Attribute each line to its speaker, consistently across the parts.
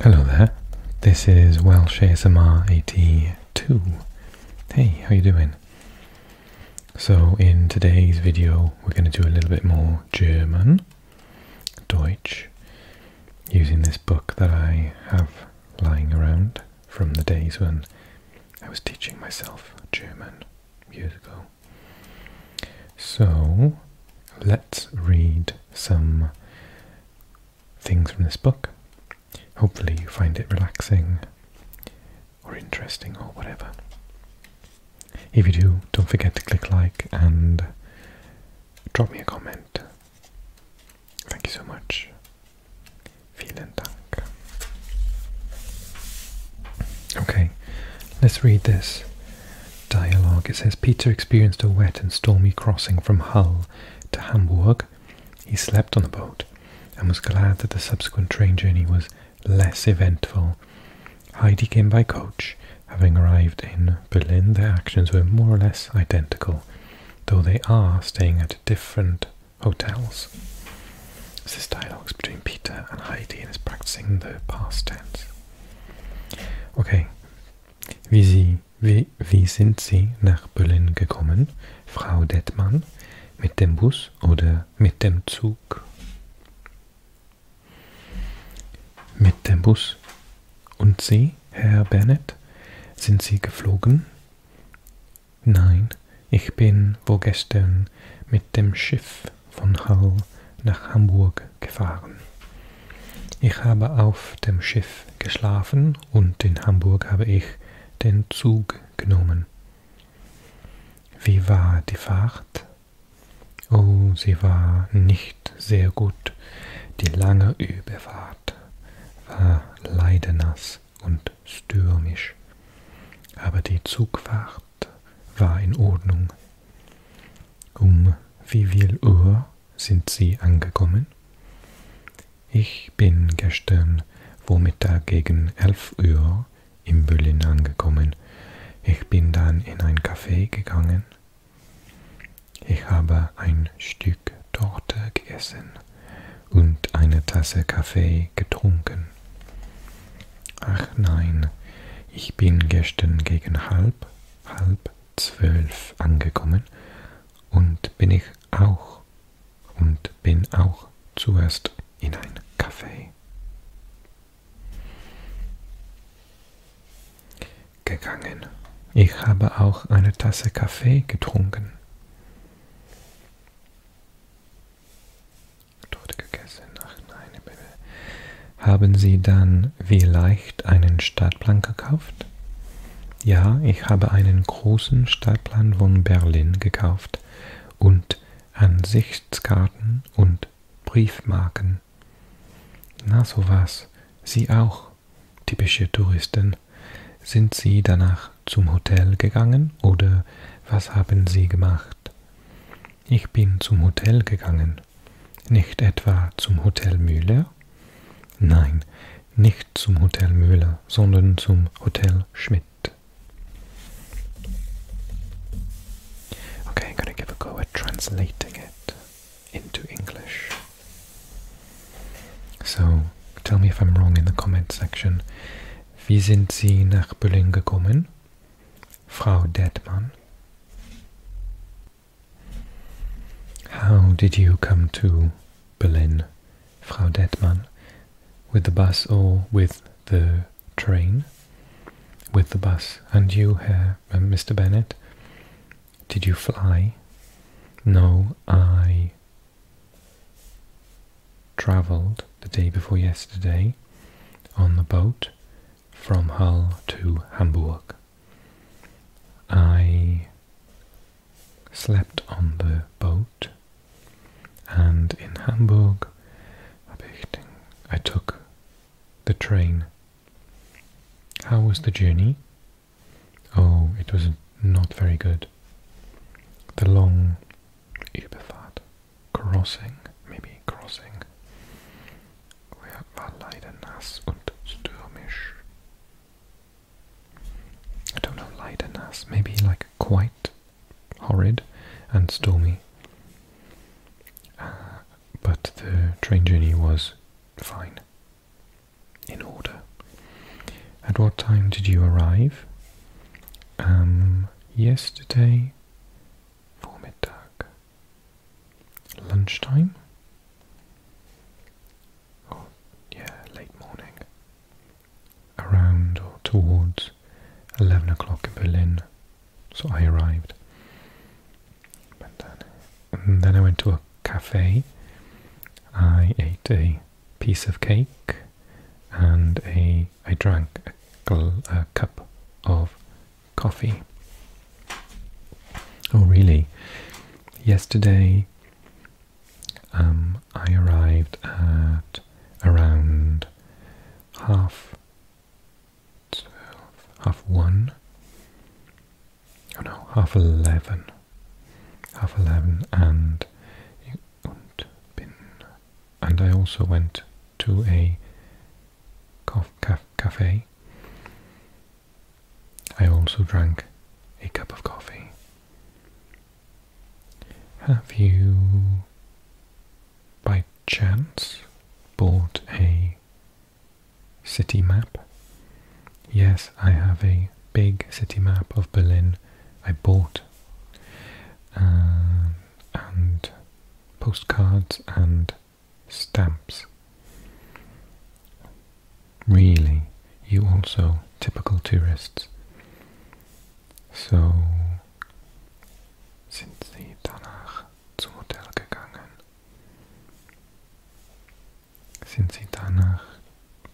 Speaker 1: Hello there. This is Welsh smr 82. Hey, how you doing? So in today's video we're going to do a little bit more German, Deutsch, using this book that I have lying around from the days when I was teaching myself German years ago. So let's read some things from this book. Hopefully, you find it relaxing or interesting or whatever. If you do, don't forget to click like and drop me a comment. Thank you so much. Vielen Dank. Okay, let's read this dialogue. It says Peter experienced a wet and stormy crossing from Hull to Hamburg. He slept on the boat and was glad that the subsequent train journey was less eventful. Heidi came by coach. Having arrived in Berlin, their actions were more or less identical, though they are staying at different hotels. This dialogue is between Peter and Heidi and is practicing the past tense. Okay, Wie, sie, wie, wie sind Sie nach Böllen gekommen, Frau Detmann? Mit dem Bus oder mit dem Zug? Mit dem Bus. Und Sie, Herr Bennett, sind Sie geflogen? Nein, ich bin vorgestern mit dem Schiff von Hull nach Hamburg gefahren. Ich habe auf dem Schiff geschlafen und in Hamburg habe ich den Zug genommen. Wie war die Fahrt? Oh, sie war nicht sehr gut. Die lange Überfahrt war leider nass und stürmisch, aber die Zugfahrt war in Ordnung. Um wie viel Uhr sind Sie angekommen? Ich bin gestern Vormittag gegen 11 Uhr in Berlin angekommen. Ich bin dann in ein Café gegangen. Ich habe ein Stück Torte gegessen und eine Tasse Kaffee getrunken. Ach nein, ich bin gestern gegen halb, halb zwölf angekommen und bin ich auch und bin auch zuerst in ein Café gegangen. Ich habe auch eine Tasse Kaffee getrunken. Dort gegessen. Ach nein, ich bin haben Sie dann vielleicht einen Stadtplan gekauft? Ja, ich habe einen großen Stadtplan von Berlin gekauft und Ansichtskarten und Briefmarken. Na sowas, Sie auch, typische Touristen. Sind Sie danach zum Hotel gegangen oder was haben Sie gemacht? Ich bin zum Hotel gegangen nicht etwa zum Hotel Müller? Nein, nicht zum Hotel Müller, sondern zum Hotel Schmidt. Okay, I'm gonna give a go at translating it into English. So, tell me if I'm wrong in the comment section. Wie sind Sie nach Berlin gekommen? Frau Detmann. How did you come to Berlin, Frau Detmann? With the bus or with the train? With the bus. And you, Herr, Mr. Bennett? Did you fly? No, I travelled the day before yesterday on the boat from Hull to Hamburg. I slept on the boat, and in Hamburg, I took the train. How was the journey? Oh, it was not very good. The long Überfahrt, crossing, maybe crossing, we're war leider nass und stürmisch. I don't know, light and nass, maybe like quite horrid and stormy. Uh, but the train journey was fine, in order. At what time did you arrive? Um, yesterday, midday lunchtime oh, yeah, late morning, around or towards 11 o'clock in Berlin. So I arrived. and then I went to a cafe. I ate a piece of cake and a I drank a cup of coffee. Oh, really? Yesterday um, I arrived at around half half one. Oh no, half eleven. Half eleven, and and I also went to a cof- cafe I also drank a cup of coffee. Have you, by chance, bought a city map? Yes, I have a big city map of Berlin I bought. Uh, and postcards and stamps. Really, you also typical tourists. So sind sie danach zum Hotel gegangen. Sind sie danach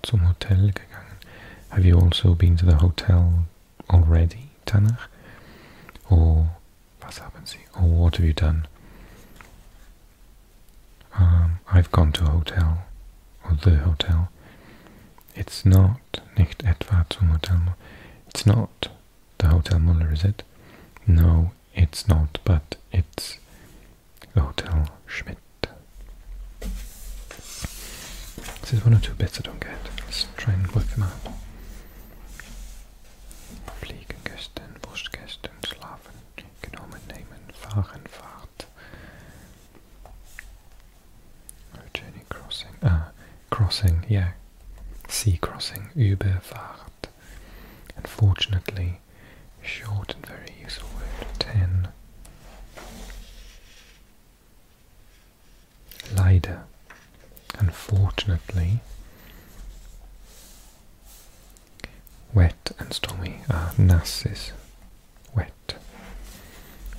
Speaker 1: zum Hotel gegangen. Have you also been to the hotel already, danach? Or was haben sie? Or what have you done? Um, I've gone to a hotel, or the hotel. It's not nicht etwa zum Hotel. It's not the Hotel Muller, is it? No, it's not, but it's the Hotel Schmidt. This is one or two bits I don't get. Let's try and work them out. Fliegengesten, Wurstgesten, Schlafen and nehmen, fahren, fahrt. Journey crossing, ah, crossing, yeah, sea crossing, Überfahrt. Unfortunately, short and very useful word. Ten. Leider. Unfortunately, Wet and stormy Ah, nasses. Wet.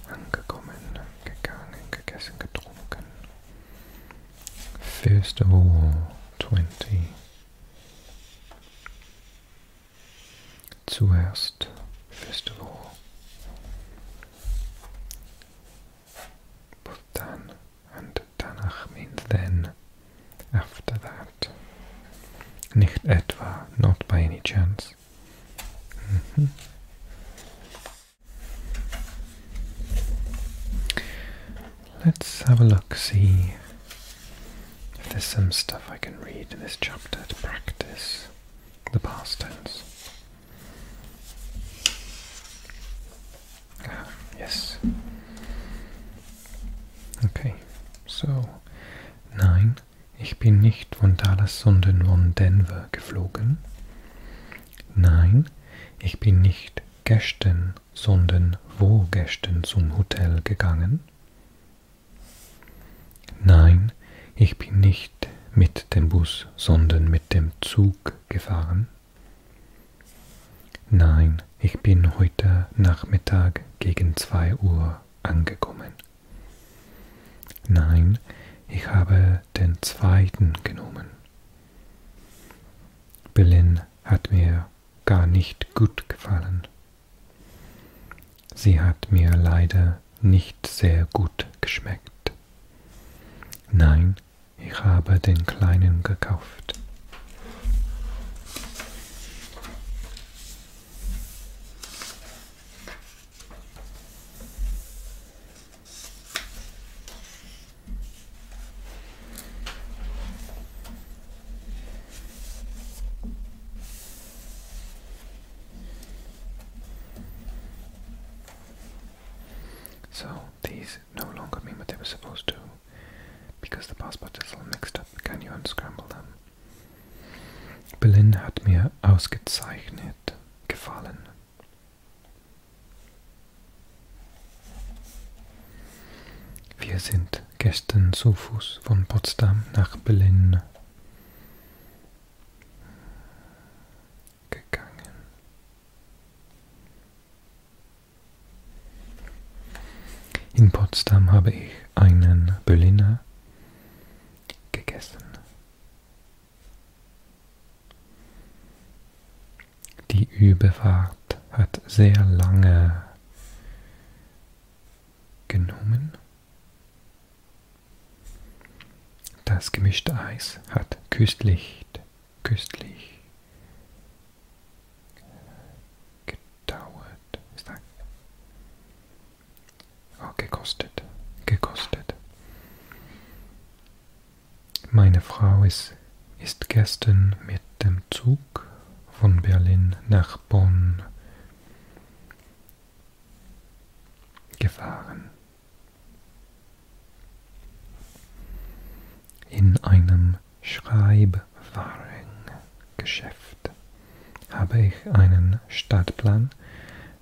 Speaker 1: Angekommen, gegangen, gegessen, getrunken. First of all, 20. Zuerst, first of all. But then, and danach means then, after that. Nicht etwa, not by any chance. Mm-hmm. Let's have a look, see if there's some stuff I can read in this chapter to practice the past tense. Ah, yes. Okay, so. Nein, ich bin nicht von Dallas, sondern von Denver geflogen. Nein, ich bin nicht gestern, sondern vorgestern zum Hotel gegangen. Nein, ich bin nicht mit dem Bus, sondern mit dem Zug gefahren. Nein, ich bin heute Nachmittag gegen 2 Uhr angekommen. Nein, ich habe den zweiten genommen. Berlin hat mir gar nicht gut gefallen. Sie hat mir leider nicht sehr gut geschmeckt. Nein, ich habe den kleinen gekauft. So these no longer mean what they were supposed to. Because the passport is all mixed up, can you unscramble them? Berlin hat mir ausgezeichnet gefallen. Wir sind gestern zu Fuß von Potsdam nach Berlin gegangen. In Potsdam habe ich einen Berliner gegessen. Die Überfahrt hat sehr lange genommen. Das gemischte Eis hat köstlich, köstlich gedauert. Ist da? Oh, gekostet. Gekostet. Meine Frau ist, ist gestern mit dem Zug von Berlin nach Bonn gefahren. In einem Schreibwarengeschäft habe ich einen Stadtplan,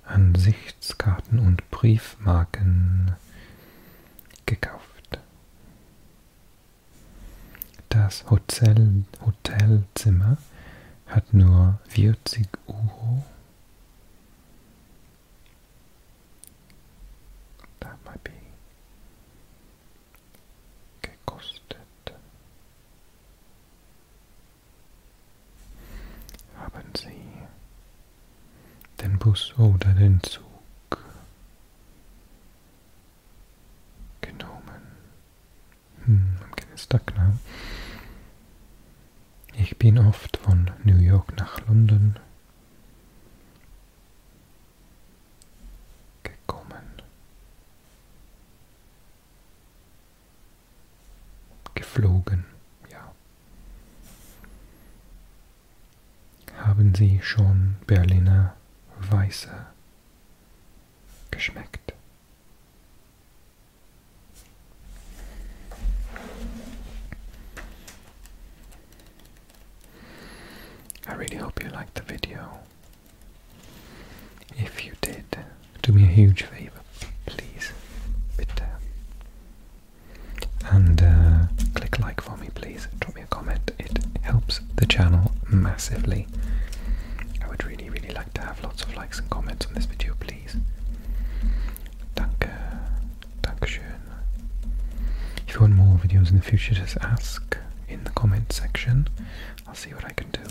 Speaker 1: Ansichtskarten und Briefmarken gekauft. Das Hotel Hotelzimmer hat nur 40 Euro. That might be gekostet. Haben Sie den Bus oder den Zug genommen? Hm, am Dienstag, ne? Ich bin oft von New York nach London gekommen, geflogen, ja. Haben Sie schon Berliner Weiße geschmeckt? I really hope you liked the video. If you did, do me a huge favor, please, bitte. And uh, click like for me, please. Drop me a comment. It helps the channel massively. I would really, really like to have lots of likes and comments on this video, please. Danke, Dankeschön. If you want more videos in the future, just ask in the comment section. I'll see what I can do.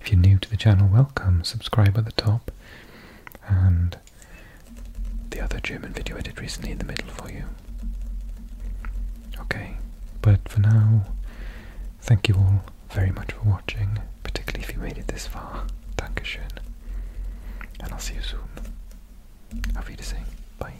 Speaker 1: If you're new to the channel, welcome. Subscribe at the top. And the other German video I did recently in the middle for you. Okay, but for now, thank you all very much for watching, particularly if you made it this far. Dankeschön. And I'll see you soon. Auf Wiedersehen. Bye.